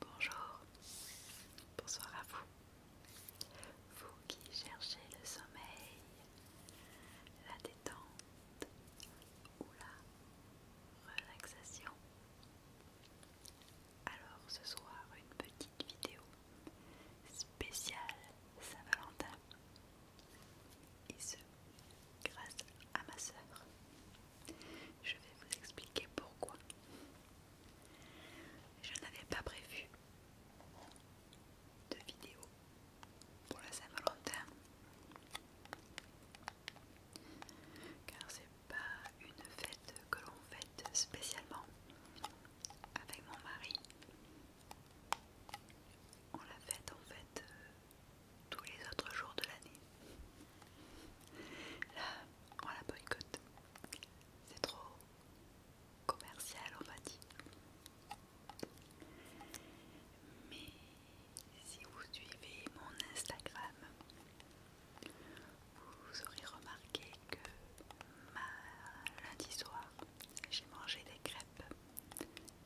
Bonjour, bonsoir à vous. Vous qui cherchez le sommeil, la détente ou la relaxation. Alors ce soir, une petite vidéo spéciale Saint-Valentin et ce grâce à ma sœur. Je vais vous expliquer pourquoi. Je n'avais pas prévu de vidéo pour la Saint-Valentin car c'est pas une fête que l'on fête spécialement avec mon mari on la fête en fait euh, tous les autres jours de l'année. Là, on la boycotte. C'est trop commercial, on va dire. Mais si vous suivez mon Instagram, vous aurez remarqué que euh, lundi soir, j'ai mangé des crêpes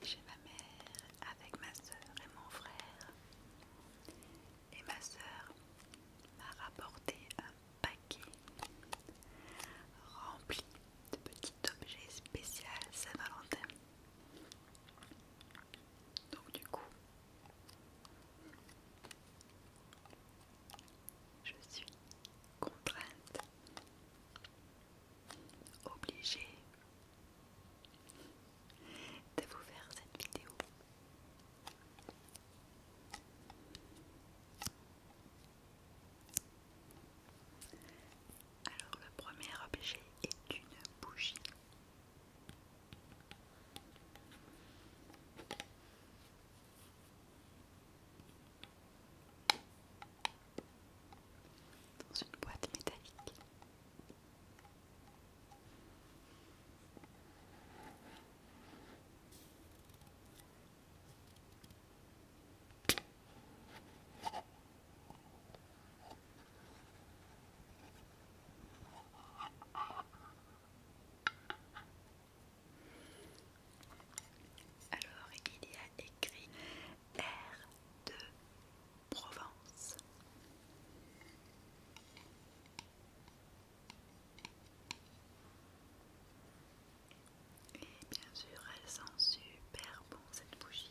chez ma mère avec ma soeur et mon frère. Et ma soeur m'a rapporté un paquet rempli de petits objets spéciaux Saint-Valentin. Donc du coup, je suis contrainte, obligée de vous faire cette vidéo. Alors le premier objet est une bougie dans une boîte métallique. Alors il y a écrit R de Provence. Et bien sûr, elle sent super bon cette bougie.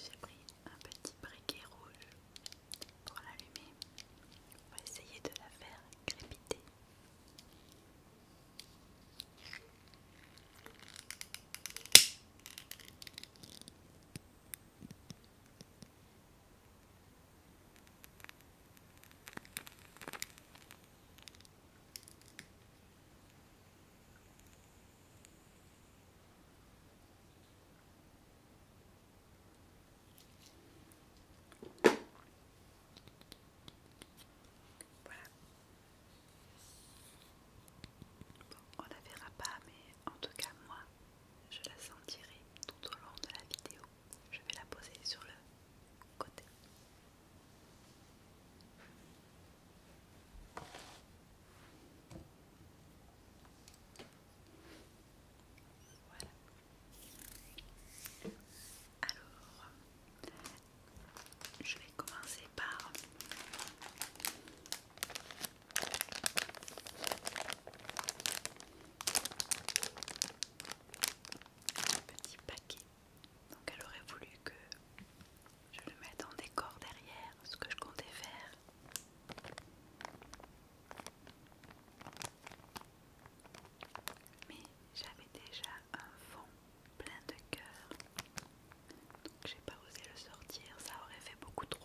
J'ai pris un petit briquet rouge pour l'allumer. pour essayer de la faire crépiter on la verra pas, mais en tout cas moi je la sentirai tout au long de la vidéo. Je vais la poser sur le côté. Voilà. Alors, je vais commencer par un petit paquet. Donc elle aurait voulu que je le mette en décor derrière, ce que je comptais faire. Mais j'avais déjà un fond plein de cœur donc j'ai pas osé le sortir, ça aurait fait beaucoup trop.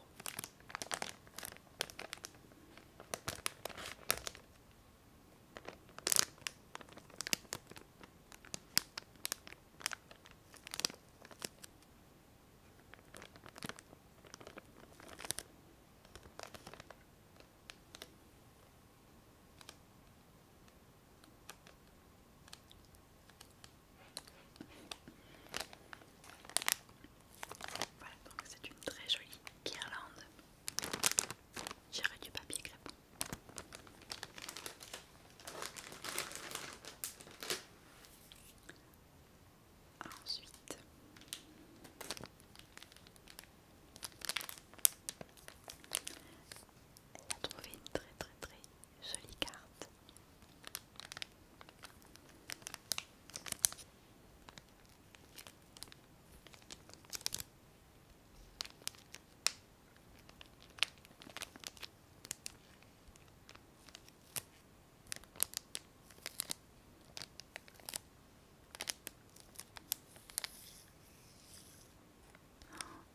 Voilà, donc c'est une très jolie guirlande. J'irai du papier crêpe. Ensuite, elle a trouvé une très très très Jolie carte.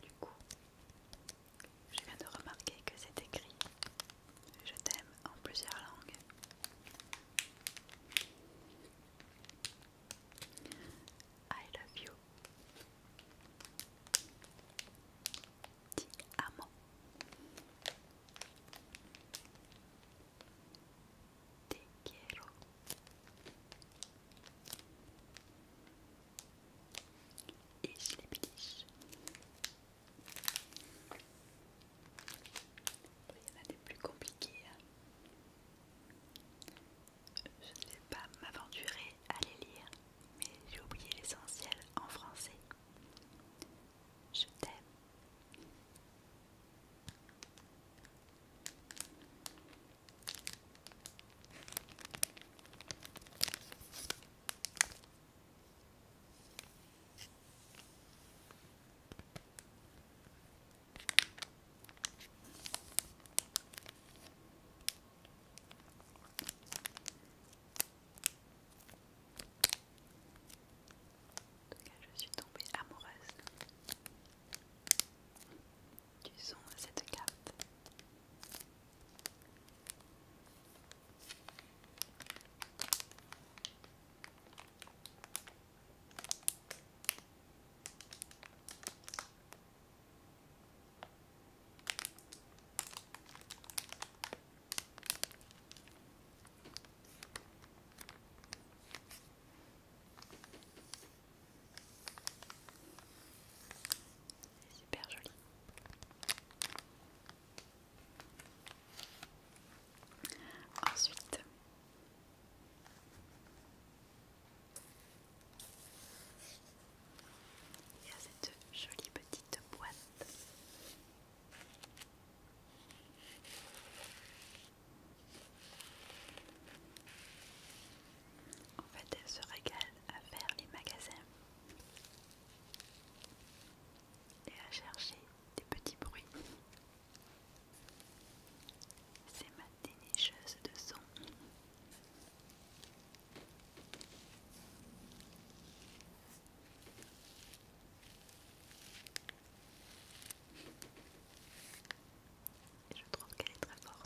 du coup, je viens de remarquer que c'est écrit Je t'aime en plusieurs langues. I love you. Ti amo. Te quiero et les biliche. Il y en a des plus compliqués. Hein. Je ne vais pas m'aventurer à les lire, mais j'ai oublié l'essentiel en français. Je t'aime je suis tombée amoureuse du son de cette carte. C'est Super joli. Ensuite, il y a cette jolie petite boîte. En fait, elle se régale à faire les magasins et à chercher des petits bruits. C'est ma dénicheuse de son. je trouve qu'elle est très forte.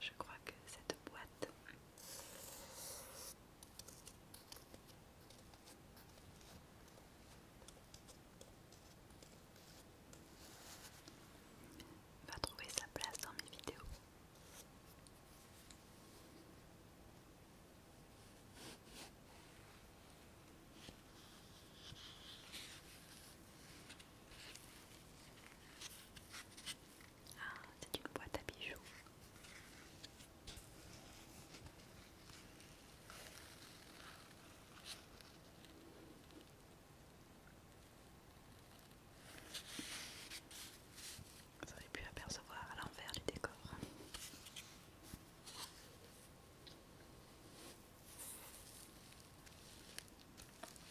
Je crois que cette boîte va trouver sa place dans mes vidéos. Ah, c'est une boîte à bijoux. Vous avez pu apercevoir à l'envers du décor.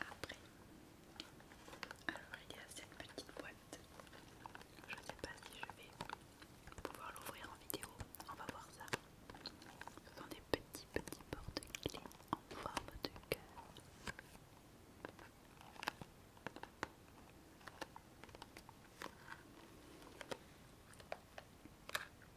Après, alors il y a cette petite boîte. Je ne sais pas si je vais pouvoir l'ouvrir en vidéo. On va voir ça. Ce sont des petits petits porte-clés en forme de cœur.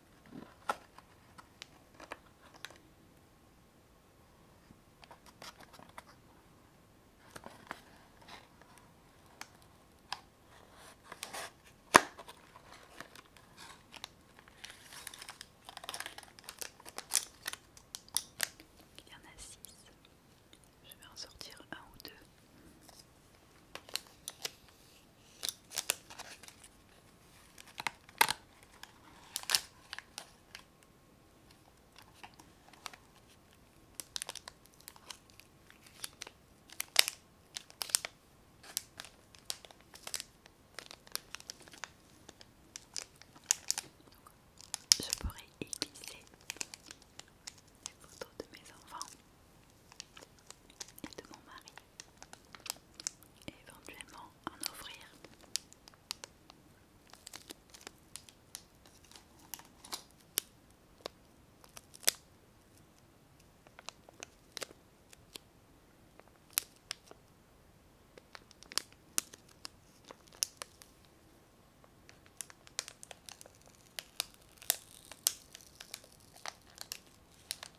Il y en a six. Je vais en sortir un ou deux. Je pourrais éclisser les photos de mes enfants et de mon mari éventuellement en ouvrir.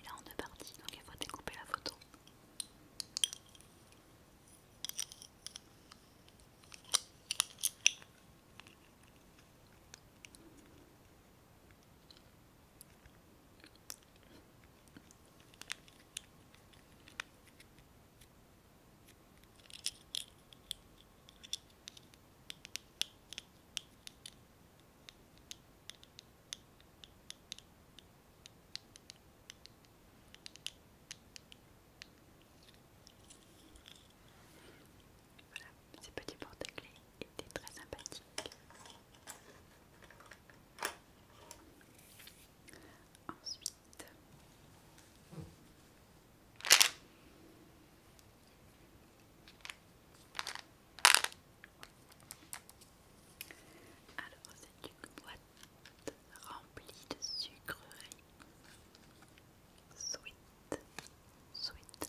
il est en deux parties, donc il faut découper la photo. Voilà, ces petits porte-clés étaient très sympathiques. Ensuite, alors c'est une boîte remplie de sucreries. Sweet, sweet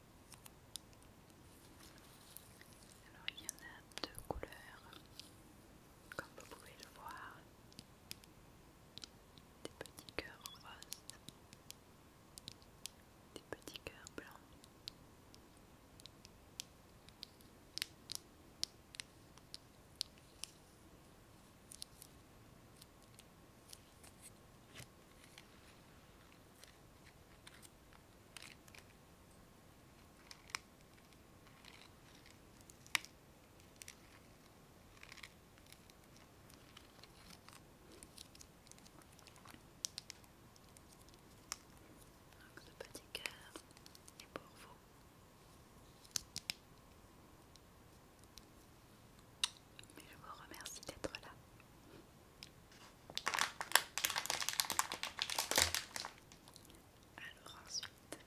Alors il y en a deux couleurs, comme vous pouvez le voir, des petits cœurs roses, des petits cœurs blancs. Donc petit cœur est pour vous. Mais je vous remercie d'être là. Alors ensuite.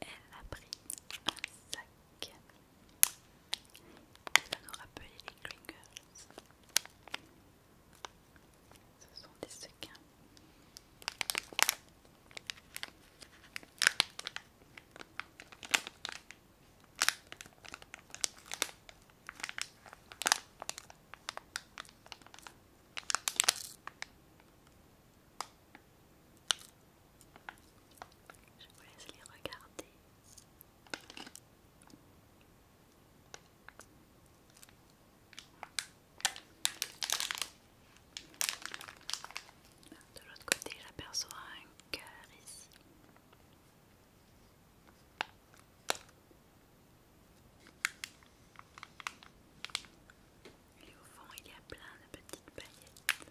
Elle a pris un sac Elle va nous rappeler les Klingels. Ce sont des sequins. Je vous laisse les regarder. De l'autre côté, j'aperçois un cœur ici. Et au fond, il y a plein de petites paillettes.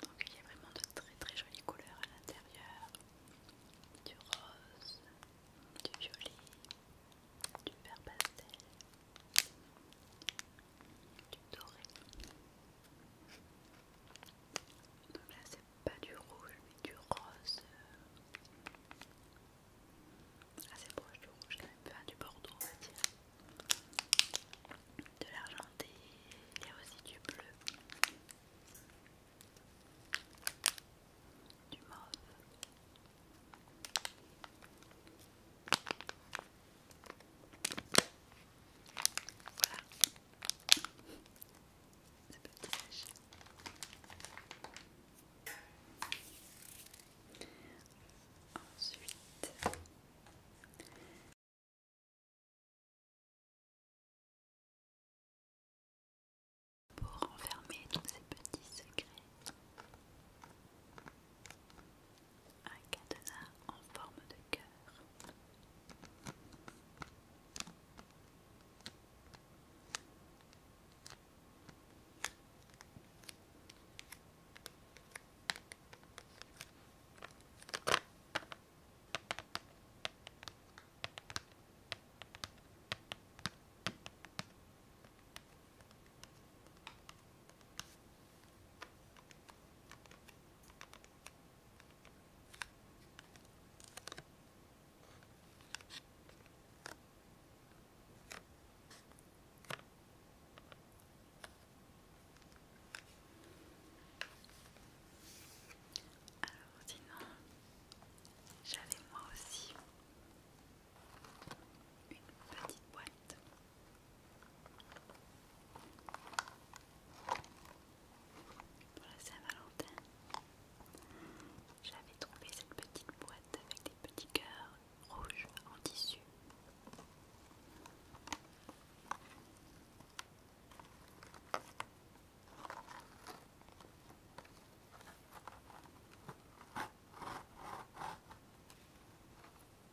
Donc il y a vraiment de très très jolies couleurs à l'intérieur, du rose, du violet, du vert pastel, du doré. Donc là, c'est pas du rouge, mais du rose. Assez ah, proche du rouge, quand même, enfin du bordeaux, on va dire. De l'argenté, il y a aussi du bleu, du mauve. Voilà. Ce petit sachet. Ensuite. Pour renfermer tous ces petits secrets un cadenas en forme de cœur. Alors sinon, j'avais moi aussi une petite boîte pour la Saint-Valentin, j'avais trouvé cette petite boîte avec des petits cœurs rouges en tissu.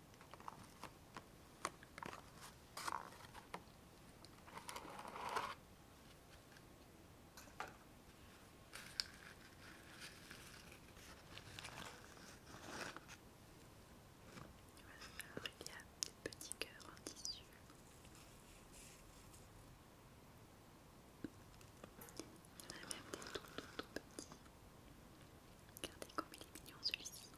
Alors, il y a des petits cœurs en tissu. Il y en a même des tout, tout, tout petits. Regardez comme il est mignon celui-ci.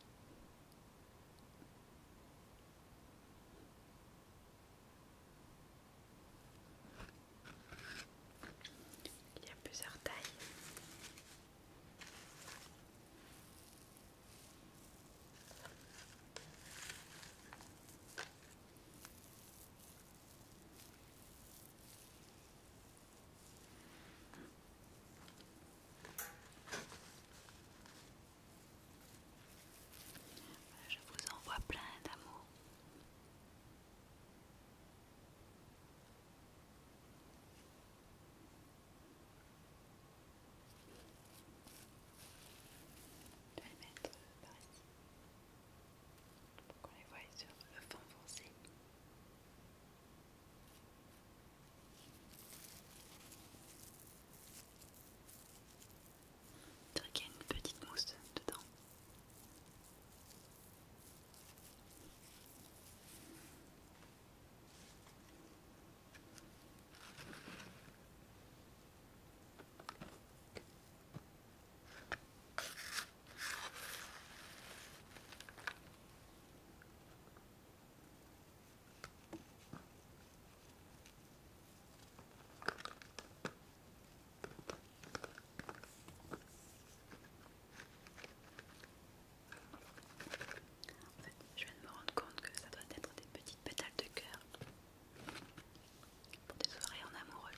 Il y a plusieurs tailles. Je vous envoie plein d'amour. Je vais les mettre par ici pour qu'on les voie sur le fond foncé. Il y a une petite mousse dedans. En fait, je viens de me rendre compte que ça doit être des petites pétales de cœur pour des soirées en amoureux.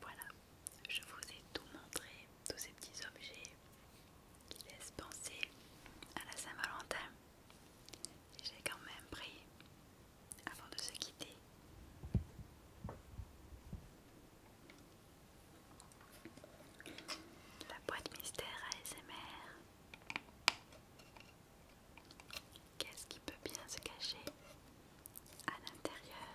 Voilà, je vous ai tout montré, tous ces petits objets qui laissent penser à la Saint-Valentin. J'ai quand même pris avant de se quitter. La boîte mystère ASMR Qu'est-ce qui peut bien se cacher à l'intérieur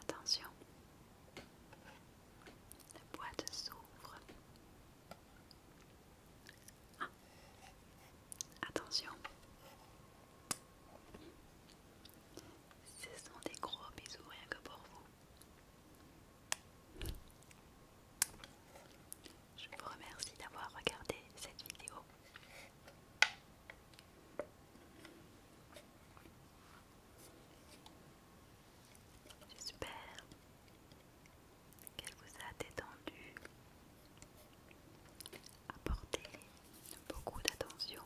Attention, la boîte s'ouvre. Ah. Attention, ce sont des gros bisous rien que pour vous. Je vous remercie d'avoir regardé cette vidéo. J'espère qu'elle vous a détendu, apporté beaucoup d'attention.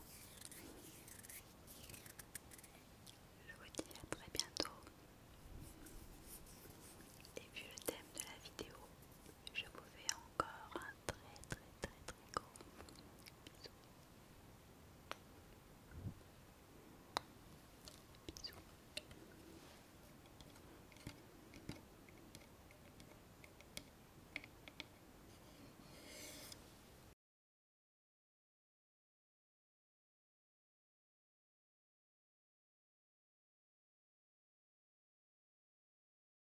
Je vous dis à très bientôt. Et vu le thème de la vidéo, je vous fais encore un très très très très gros bisou.